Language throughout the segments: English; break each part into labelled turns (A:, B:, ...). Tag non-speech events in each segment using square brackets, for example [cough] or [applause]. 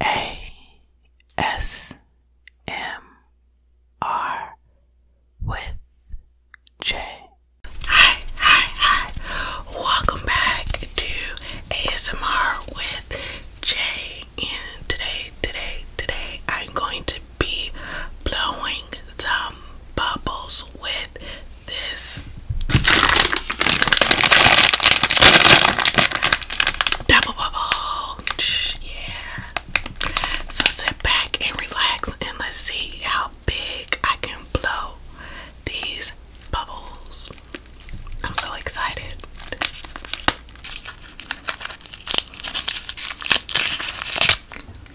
A: A S M R with J. Hi, hi, hi. Welcome back to ASMR with J. And today, today, today, I'm going to be blowing some bubbles with this double bubble. Yeah. So sit back and relax and let's see how big I can blow these bubbles. I'm so excited.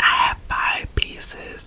A: I have five pieces.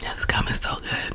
A: This gum is so good.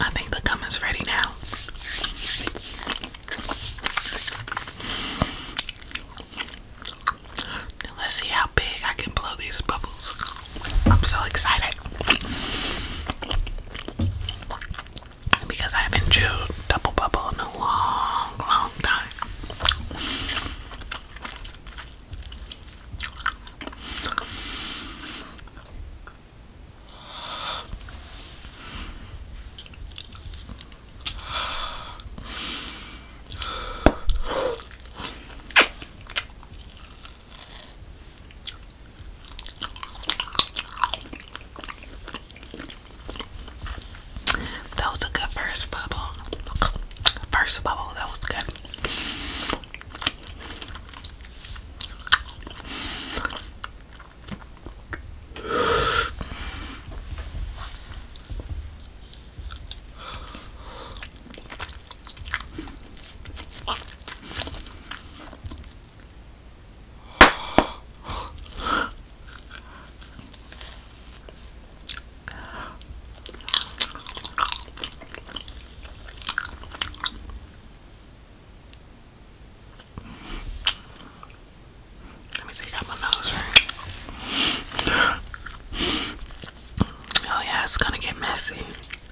A: I think the gum is ready now. Let's see how big I can blow these bubbles. I'm so excited because I haven't chewed double bubble in a long, long time. That was a good first bubble. First bubble, that was good. Let me see, I got my nose ring. Oh yeah, it's gonna get messy.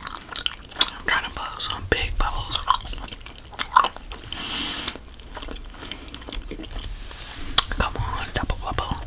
A: I'm trying to blow some big bubbles. Come on, double bubble.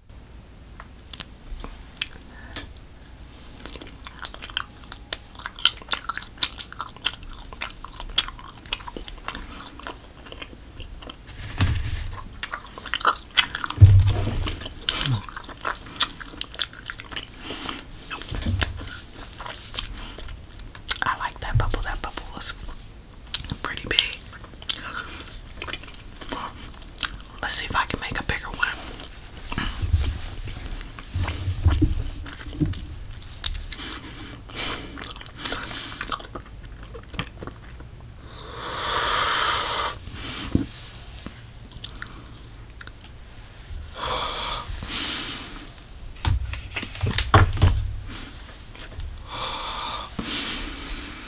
A: I like that bubble. That bubble was pretty big. Let's see if I can make a bigger one.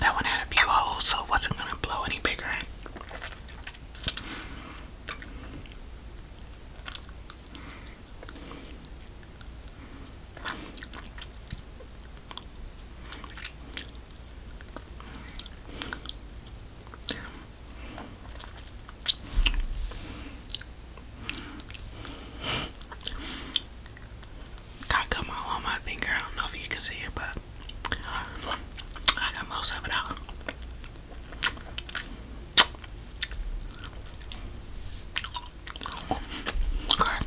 A: That one had a few holes, so it wasn't going to blow any bigger. Got gum all on my finger. I don't know if you can see it, but I got most of it out. Okay.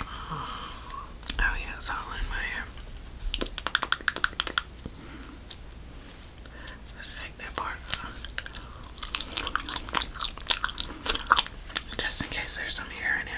A: Oh yeah, it's all in my um, hair. Just in case there's some hair in it.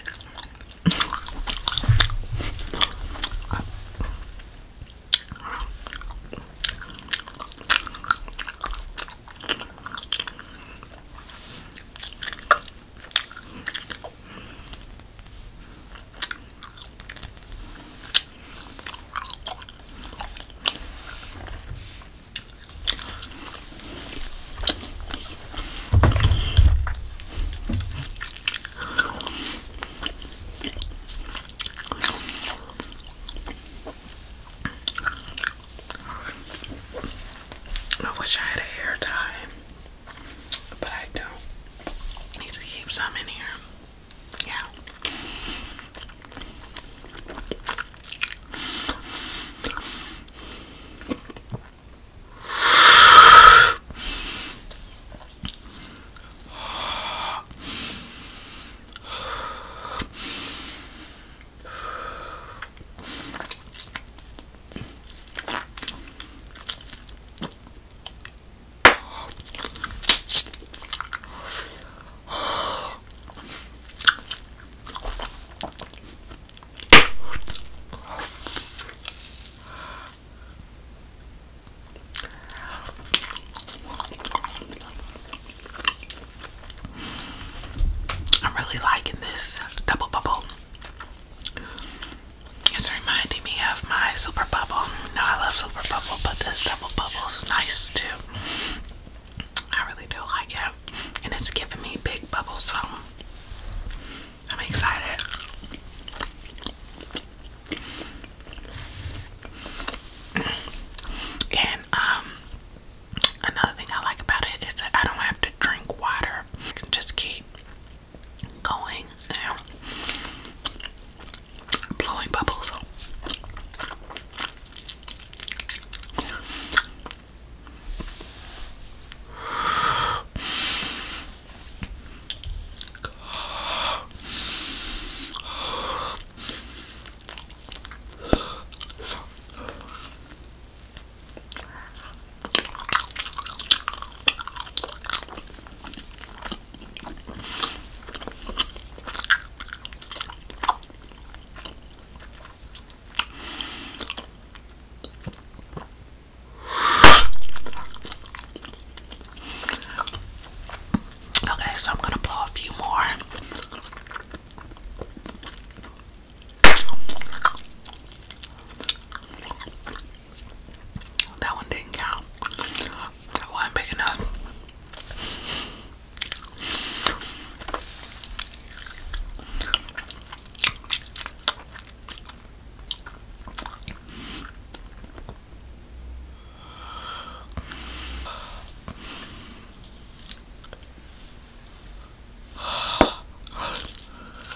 A: I wish I had a hair tie. But I do need to keep some in here. Yeah. I'm really liking this double bubble. It's reminding me of my Super Bubble. No, I love Super Bubble, but this Double Bubble is nice too. I really do like it. And it's giving me big bubbles, so I'm excited. And um another thing I like about it is that I don't have to drink water. I can just keep going blowing bubbles. Okay, so I'm going to blow a few more. That one didn't count. That was big enough.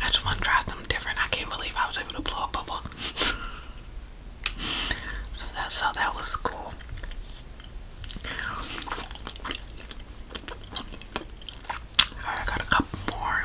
A: I just want to try something different. I can't believe I was able to blow a bubble. [laughs] so that so that was cool. I got a couple more.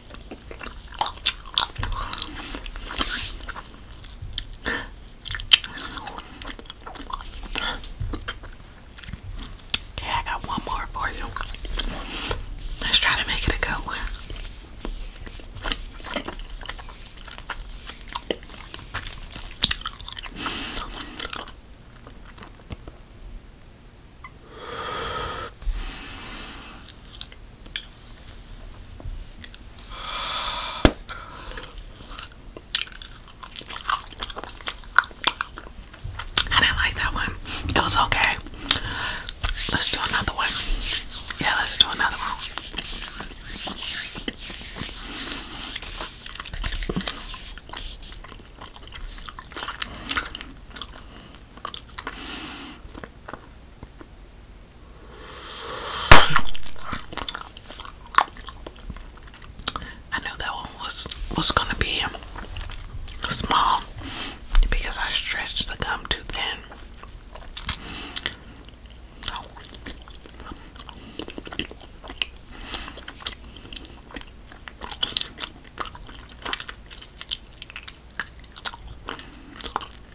A: Okay, I got one more for you. Let's try to make it a go. I didn't like that one. It was okay. Let's do another one. Yeah, let's do another one. I knew that one was was gonna be small because I stretched the gum too thin.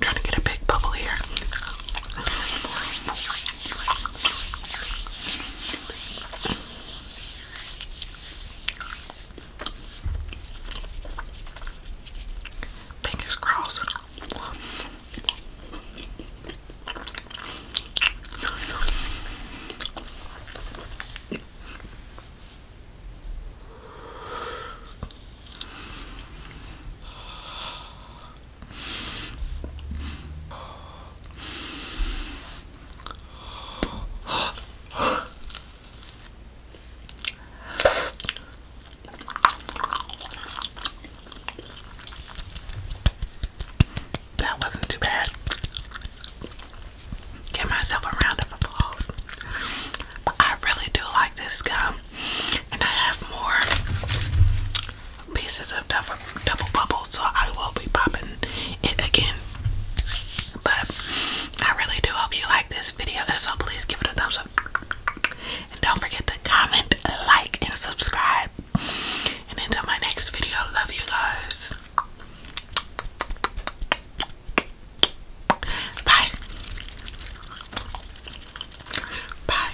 A: trying to get a big bubble here. Fingers crossed. That wasn't too bad. Give myself a round of applause. But I really do like this gum and I have more pieces of double, bubble, so I will be popping it again. But I really do hope you like this video, so please give it a thumbs up. And don't forget to comment, like, and subscribe. And until my next video, love you guys. Bye. Bye.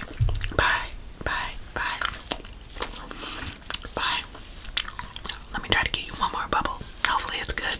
A: Bye. Bye. Bye. Bye. Let me try to get you one more bubble. Hopefully it's good.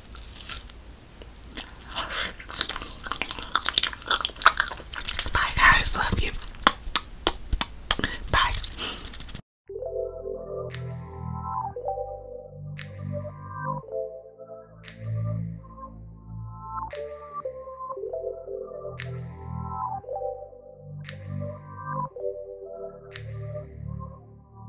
A: Bye, guys. Love you. Bye.